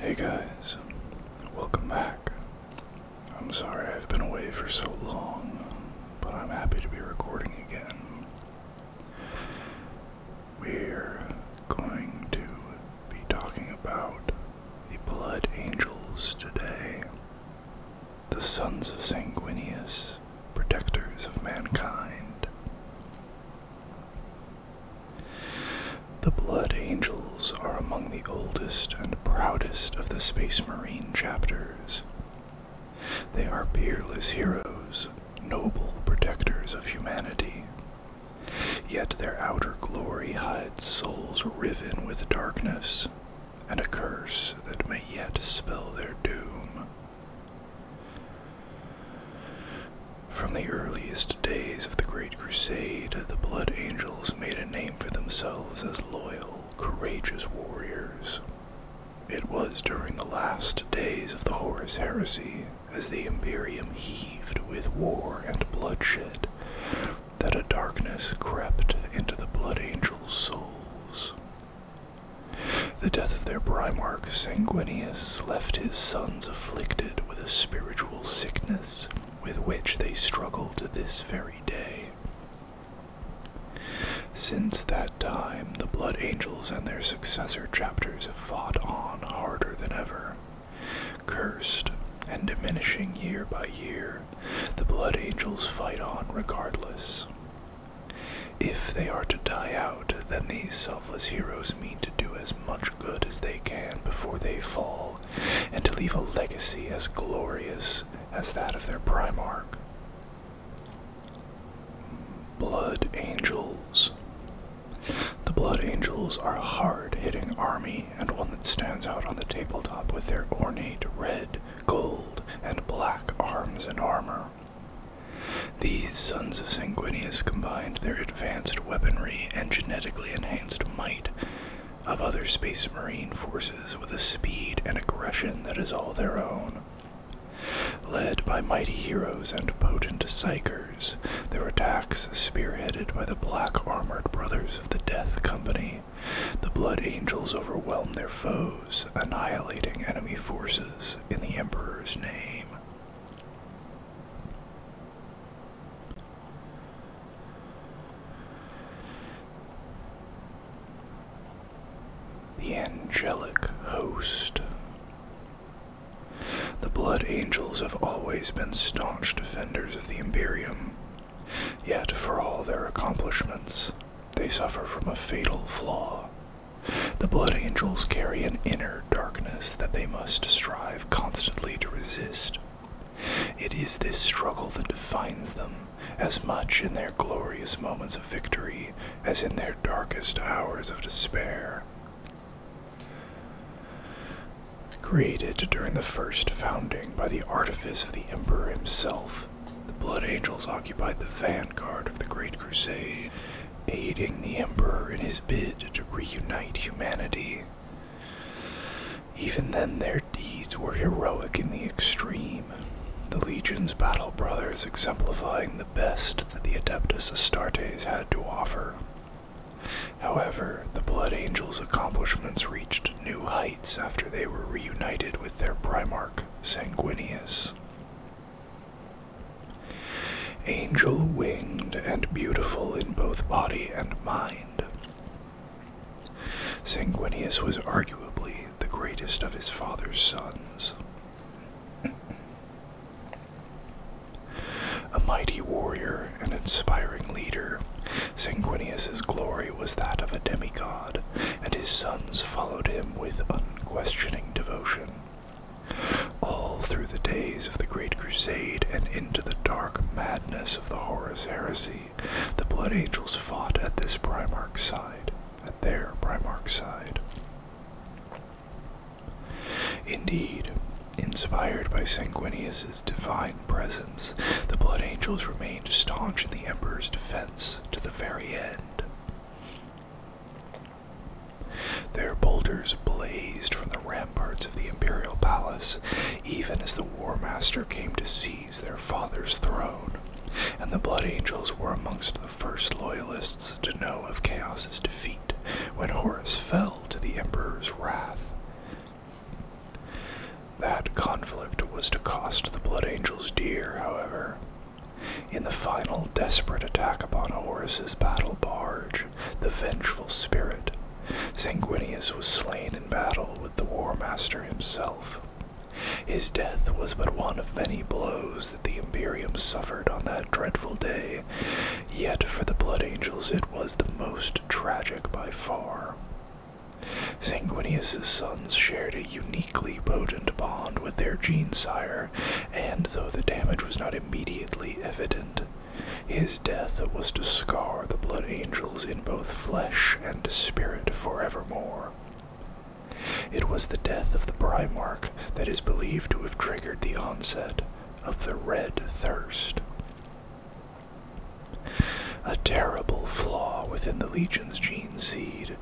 Hey guys, welcome back. I'm sorry I've been away for so long, but I'm happy to be recording again. We're going to be talking about the Blood Angels today, the sons of Sanguineus, protectors of mankind. The Blood Angels are among the oldest and proudest of the Space Marine chapters. They are peerless heroes, noble protectors of humanity. Yet their outer glory hides souls riven with darkness and a curse that may yet spell their doom. From the earliest days of the Great Crusade, the Blood Angels made a name for themselves as loyal, courageous warriors. It was during the last days of the Horus Heresy, as the Imperium heaved with war and bloodshed, that a darkness crept into the Blood Angels' souls. The death of their Primarch Sanguinius left his son afflicted with a spiritual sickness with which they struggle to this very day. Since that time, the Blood Angels and their successor chapters have fought on harder than ever. Cursed and diminishing year by year, the Blood Angels fight on regardless. If they are to die out, then these selfless heroes mean to do as much good as they can before they fall, and to leave a legacy as glorious as that of their Primarch. Blood Angels. The Blood Angels are a hard hitting army and one that stands out on the tabletop with their ornate red, gold, and black arms and armor. These sons of Sanguinius combined their advanced weaponry and genetically enhanced might of other space marine forces with a speed and aggression that is all their own. Led by mighty heroes and potent psychers, their attacks spearheaded by the black armored brothers of the Death Company, the Blood Angels overwhelmed their foes, annihilating enemy forces in the Emperor's name. The angelic host. The blood angels have always been staunch defenders of the Imperium, yet, for all their accomplishments, they suffer from a fatal flaw the blood angels carry an inner darkness that they must strive constantly to resist. It is this struggle that defines them, as much in their glorious moments of victory as in their darkest hours of despair. Created during the first founding by the artifice of the Emperor himself, the Blood Angels occupied the vanguard of the Great Crusade aiding the Emperor in his bid to reunite humanity. Even then, their deeds were heroic in the extreme, the Legion's battle brothers exemplifying the best that the Adeptus Astartes had to offer. However, the Blood Angels' accomplishments reached new heights after they were reunited with their Primarch, Sanguinius. Angel winged and beautiful in both body and mind. Sanguinius was arguably the greatest of his father's sons. A mighty warrior and inspiring leader, Sanguinius's glory was that of a demigod, and his sons followed him with unquestioning devotion. All through the days of the Great Crusade and into the dark madness of the Horus Heresy, the Blood Angels fought at this Primarch's side, at their Primarch's side. Indeed, inspired by Sanguinius's divine presence, the Blood Angels remained staunch in the Emperor's defense to the very end. Their boulders blazed from the ramparts of the imperial palace, even as the War Master came to seize their father's throne, and the Blood Angels were amongst the first loyalists to know of Chaos's defeat when Horus fell to the Emperor's wrath. That conflict was to cost the Blood Angels dear, however. In the final desperate attack upon Horus's battle barge, the vengeful spirit, Sanguinius was slain in battle with the War Master himself. His death was but one of many blows that the Imperium suffered on that dreadful day, yet for the Blood Angels it was the most tragic by far. Sanguinius's sons shared a uniquely potent bond with their gene sire, and though the damage was not immediately evident, his death was to scar the Blood Angels in both flesh and spirit forevermore. It was the death of the Primarch that is believed to have triggered the onset of the Red Thirst. A terrible flaw within the Legion's gene seed,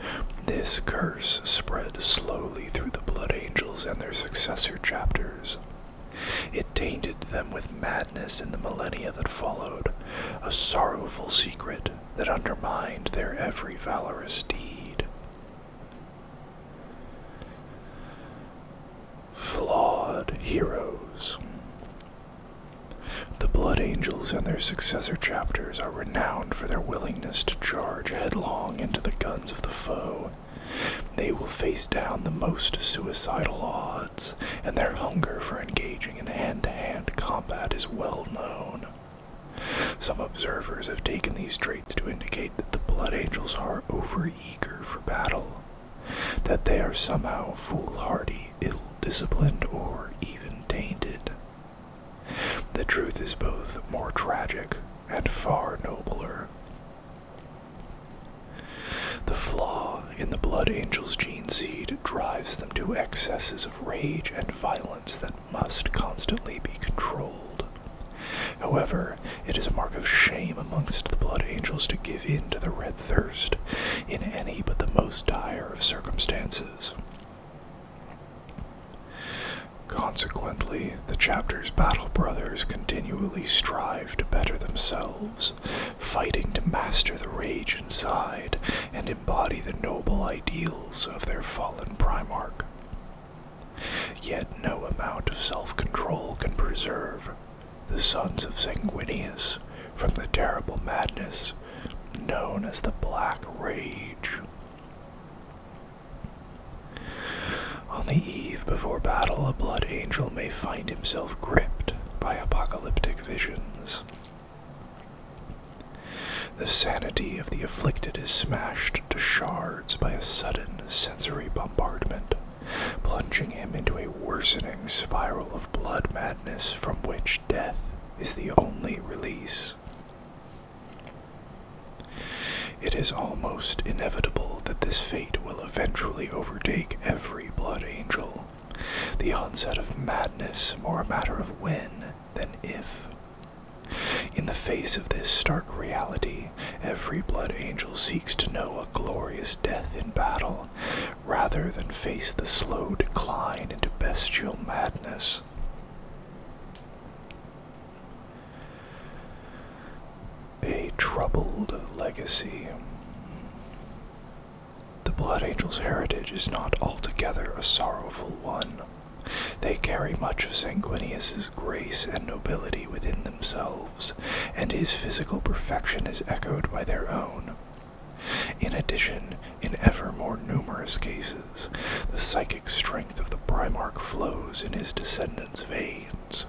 this curse spread slowly through the Blood Angels and their successor chapters. It tainted them with madness in the millennia that followed, a sorrowful secret that undermined their every valorous deed. Flawed Heroes The Blood Angels and their successor chapters are renowned for their willingness to charge headlong into the guns of the foe they will face down the most suicidal odds, and their hunger for engaging in hand to hand combat is well known. Some observers have taken these traits to indicate that the Blood Angels are overeager for battle, that they are somehow foolhardy, ill disciplined, or even tainted. The truth is both more tragic and far nobler. The flaw in the Blood Angel's gene seed drives them to excesses of rage and violence that must constantly be controlled. However, it is a mark of shame amongst the Blood Angels to give in to the red thirst in any but the most dire of circumstances. Consequently, the chapter's battle brothers continually strive to better themselves, fighting to master the rage inside and embody the noble ideals of their fallen Primarch. Yet no amount of self control can preserve the sons of Sanguinius from the terrible madness known as the Black Rage. On the eve before battle, a blood angel may find himself gripped by apocalyptic visions. The sanity of the afflicted is smashed to shards by a sudden sensory bombardment, plunging him into a worsening spiral of blood madness from which death is the only release. It is almost inevitable that this fate will eventually overtake every blood angel. The onset of madness more a matter of when than if. In the face of this stark reality, every blood angel seeks to know a glorious death in battle, rather than face the slow decline into bestial madness. A troubled legacy. The Blood Angels' heritage is not altogether a sorrowful one. They carry much of Sanguinius's grace and nobility within themselves, and his physical perfection is echoed by their own. In addition, in ever more numerous cases, the psychic strength of the Primarch flows in his descendants' veins.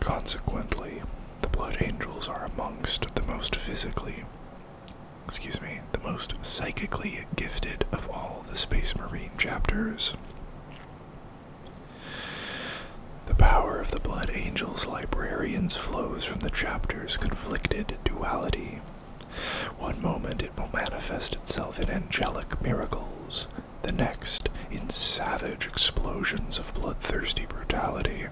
Consequently, the Blood Angels are amongst the most physically, excuse me, the most psychically gifted of all the Space Marine chapters. The power of the Blood Angels librarians flows from the chapter's conflicted duality one moment it will manifest itself in angelic miracles, the next in savage explosions of bloodthirsty brutality.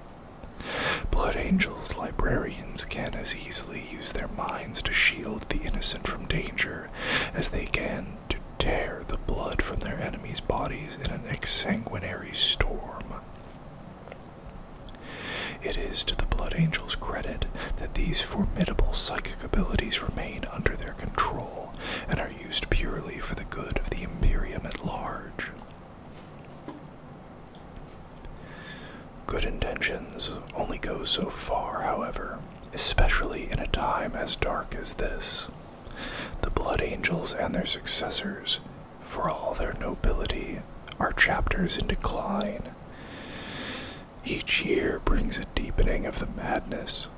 Blood angels, librarians can as easily use their minds to shield the innocent from danger as they can to tear the blood from their enemies' bodies in an exsanguinary storm. It is to the Blood Angel's credit that these formidable psychic abilities remain under their control and are used purely for the good of the Imperium at large. Good intentions only go so far, however, especially in a time as dark as this. The Blood Angels and their successors for all their nobility our chapters in decline. Each year brings a deepening of the madness,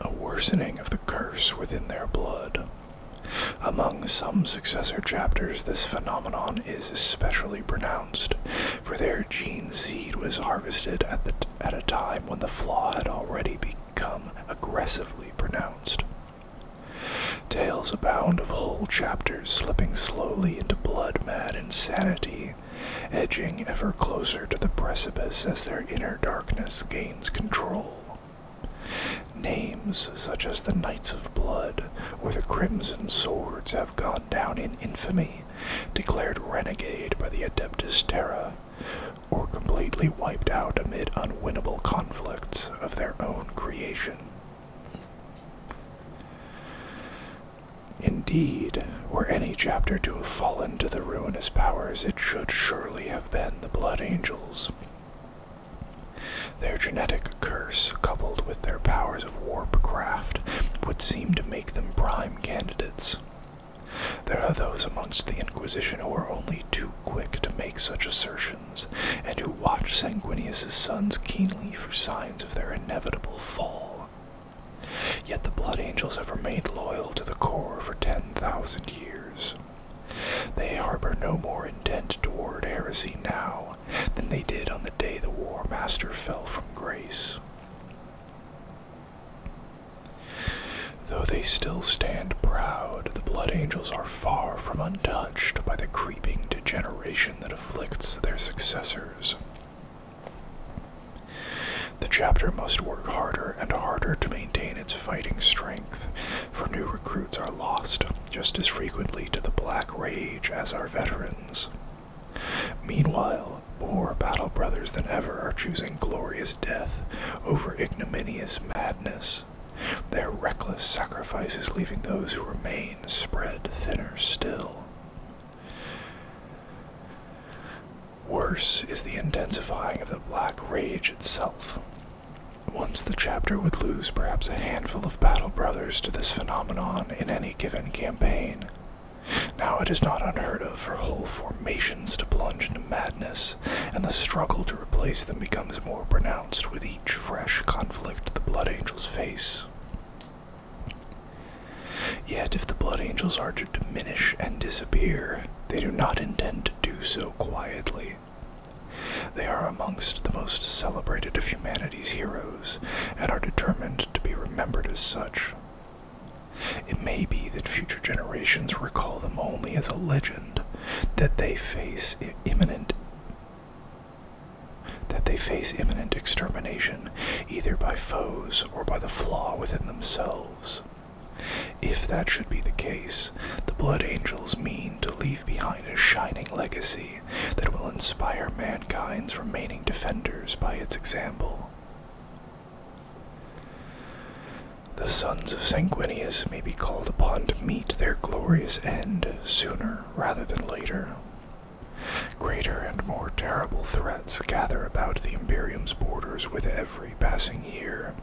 a worsening of the curse within their blood. Among some successor chapters, this phenomenon is especially pronounced, for their gene seed was harvested at, at a time when the flaw had already become aggressively pronounced. Tales abound of whole chapters slipping slowly into blood mad insanity, edging ever closer to the precipice as their inner darkness gains control. Names such as the Knights of Blood where the Crimson Swords have gone down in infamy, declared renegade by the Adeptus Terra, or completely wiped out amid unwinnable conflicts of their own creation. Indeed, were any chapter to have fallen to the ruinous powers, it should surely have been the Blood Angels. Their genetic curse, coupled with their powers of warp craft, would seem to make them prime candidates. There are those amongst the Inquisition who are only too quick to make such assertions and who watch Sanguinius's sons keenly for signs of their inevitable fall. Yet the Blood Angels have remained loyal to the core for ten thousand years. They harbor no more intent toward heresy now than they did on the day the War Master fell from grace. Though they still stand proud, the Blood Angels are far from undone by the creeping degeneration that afflicts their successors. The chapter must work harder and harder to maintain its fighting strength, for new recruits are lost just as frequently to the Black Rage as our veterans. Meanwhile, more battle brothers than ever are choosing glorious death over ignominious madness. Their reckless sacrifices, leaving those who remain spread thinner still. Worse is the intensifying of the black rage itself. Once the chapter would lose perhaps a handful of battle brothers to this phenomenon in any given campaign. Now it is not unheard of for whole formations to plunge into madness, and the struggle to replace them becomes more pronounced with each each fresh conflict the Blood Angels face. Yet, if the Blood Angels are to diminish and disappear, they do not intend to do so quietly. They are amongst the most celebrated of humanity's heroes and are determined to be remembered as such. It may be that future generations recall them only as a legend, that they face imminent that they face imminent extermination, either by foes or by the flaw within themselves. If that should be the case, the Blood Angels mean to leave behind a shining legacy that will inspire mankind's remaining defenders by its example. The sons of Sanguineus may be called upon to meet their glorious end sooner rather than later. Greater and more terrible threats gather about the Imperium's borders with every passing year.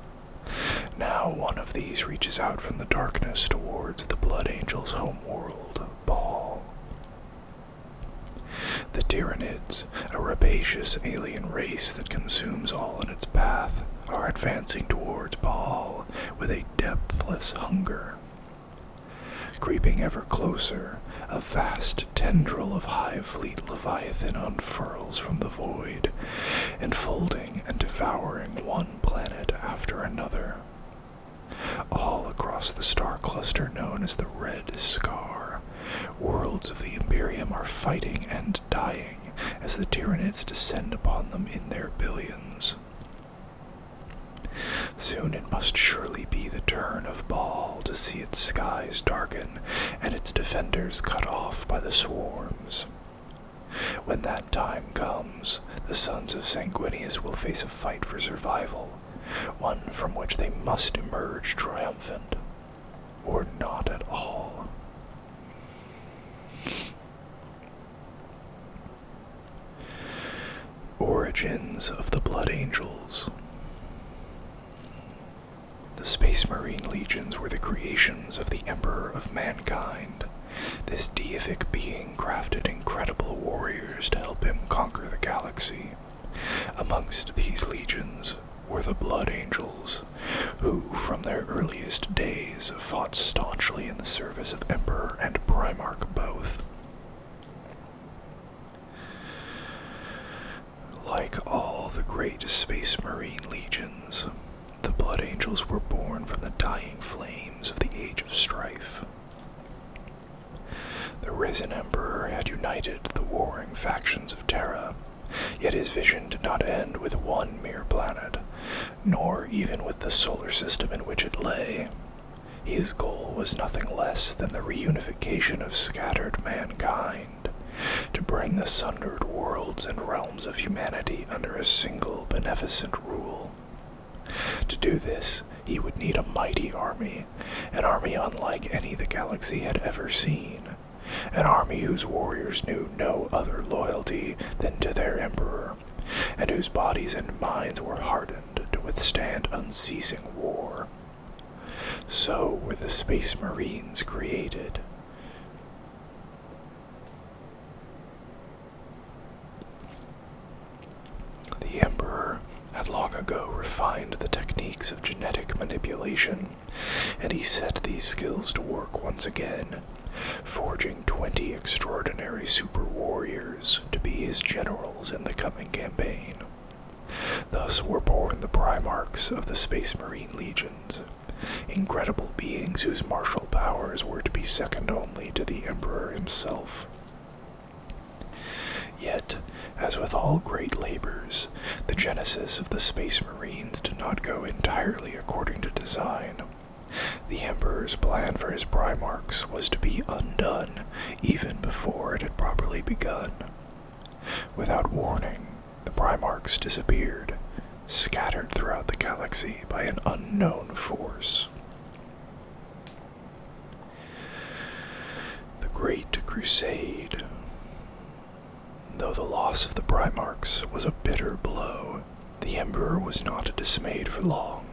Now one of these reaches out from the darkness towards the Blood Angel's homeworld, Baal. The Tyranids, a rapacious alien race that consumes all in its path, are advancing towards Baal with a depthless hunger. Creeping ever closer, a vast tendril of high fleet Leviathan unfurls from the void, enfolding and devouring one planet after another. All across the star cluster known as the Red Scar, worlds of the Imperium are fighting and dying as the tyrannids descend upon them in their billions. Soon it must surely be the turn of Baal to see its skies darken and its defenders cut off by the swarms. When that time comes, the sons of Sanguinius will face a fight for survival, one from which they must emerge triumphant, or not at all. Origins of the Blood Angels. The Space Marine Legions were the creations of the Emperor of Mankind. This deific being crafted incredible warriors to help him conquer the galaxy. Amongst these legions were the Blood Angels, who from their earliest days fought staunchly in the service of Emperor and Primarch both. Like all the great Space Marine legions, the Blood Angels were born from the dying flames of the Age of Strife. The risen Emperor had united the warring factions of Terra, yet his vision did not end with one mere planet, nor even with the solar system in which it lay. His goal was nothing less than the reunification of scattered mankind, to bring the sundered worlds and realms of humanity under a single beneficent rule. To do this, he would need a mighty army, an army unlike any the galaxy had ever seen, an army whose warriors knew no other loyalty than to their emperor, and whose bodies and minds were hardened to withstand unceasing war. So were the Space Marines created. The Emperor had long ago refined the techniques of genetic manipulation, and he set these skills to work once again forging 20 extraordinary super warriors to be his generals in the coming campaign. Thus were born the Primarchs of the Space Marine Legions, incredible beings whose martial powers were to be second only to the Emperor himself. Yet, as with all great labors, the genesis of the Space marines did not go entirely according to design. The Emperor's plan for his Primarchs was to be undone even before it had properly begun. Without warning, the Primarchs disappeared, scattered throughout the galaxy by an unknown force. The Great Crusade. Though the loss of the Primarchs was a bitter blow, the Emperor was not dismayed for long.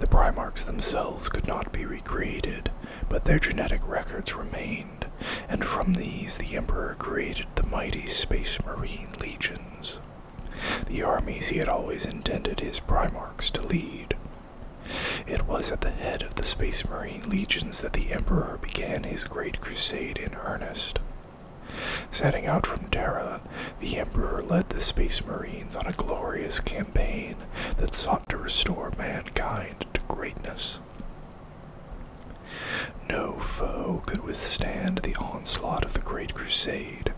The Primarchs themselves could not be recreated, but their genetic records remained, and from these the Emperor created the mighty Space Marine legions, the armies he had always intended his Primarchs to lead. It was at the head of the Space Marine legions that the Emperor began his great crusade in earnest. Setting out from Terra, the Emperor led the Space Marines on a glorious campaign that sought to restore mankind to greatness. No foe could withstand the onslaught of the Great Crusade.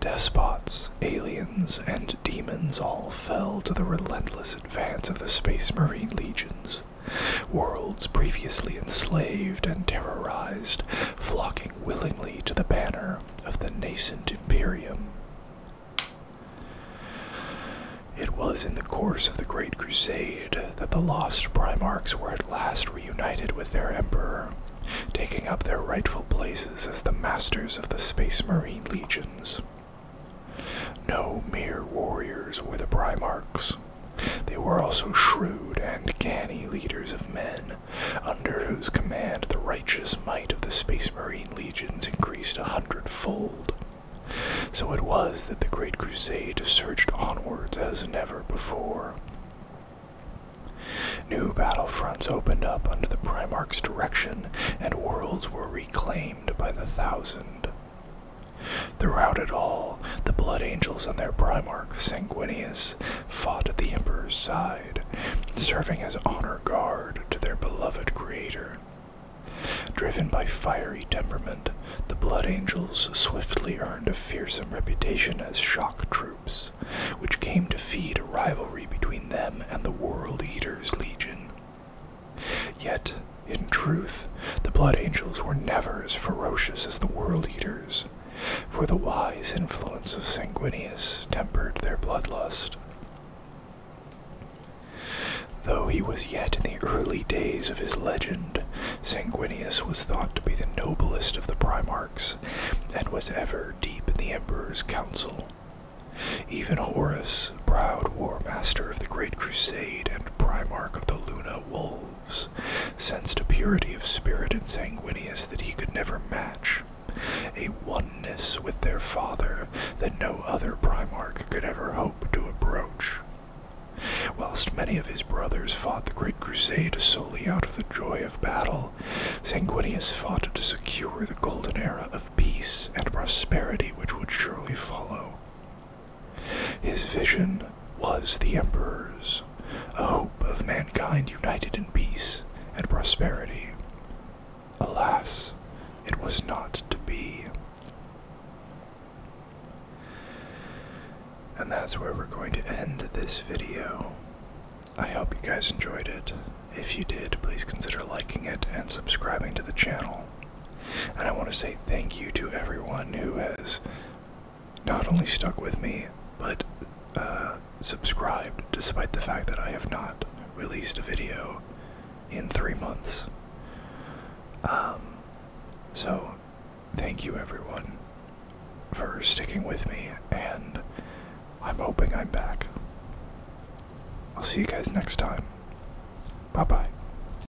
Despots, aliens, and demons all fell to the relentless advance of the Space Marine legions. Worlds previously enslaved and terrorized, flocking willingly to the banner of the nascent Imperium. It was in the course of the Great Crusade that the lost Primarchs were at last reunited with their Emperor, taking up their rightful places as the masters of the Space Marine legions. No mere warriors were the Primarchs, they were also shrewd and canny leaders of men, under whose command the righteous might of the Space Marine legions increased a hundredfold. So it was that the Great Crusade surged onwards as never before. New battle fronts opened up under the Primarch's direction, and worlds were reclaimed by the thousand. Throughout it all, the Blood Angels and their Primarch, Sanguinius, fought at the Emperor's side, serving as honor guard to their beloved creator. Driven by fiery temperament, the Blood Angels swiftly earned a fearsome reputation as shock troops, which came to feed a rivalry between them and the World Eaters Legion. Yet, in truth, the Blood Angels were never as ferocious as the World Eaters, for the wise influence of Sanguineus tempered their bloodlust. Though he was yet in the early days of his legend, Sanguineus was thought to be the noblest of the Primarchs, and was ever deep in the Emperor's council. Even Horus, proud war master of the Great Crusade and Primarch of the Luna Wolves, sensed a purity of spirit in Sanguinius that he could never match, a oneness with their father that no other Primarch could ever hope to approach. Whilst many of his brothers fought the Great Crusade solely out of the joy of battle, Sanguinius fought to secure the golden era of peace and prosperity which would surely follow. His vision was the Emperor's, a hope of mankind united in peace and prosperity. Alas, it was not to be. And that's where we're going to end this video. I hope you guys enjoyed it. If you did, please consider liking it and subscribing to the channel. And I want to say thank you to everyone who has not only stuck with me, but uh, subscribed despite the fact that I have not released a video in three months. Um, so, thank you everyone for sticking with me, and I'm hoping I'm back. I'll see you guys next time. Bye bye.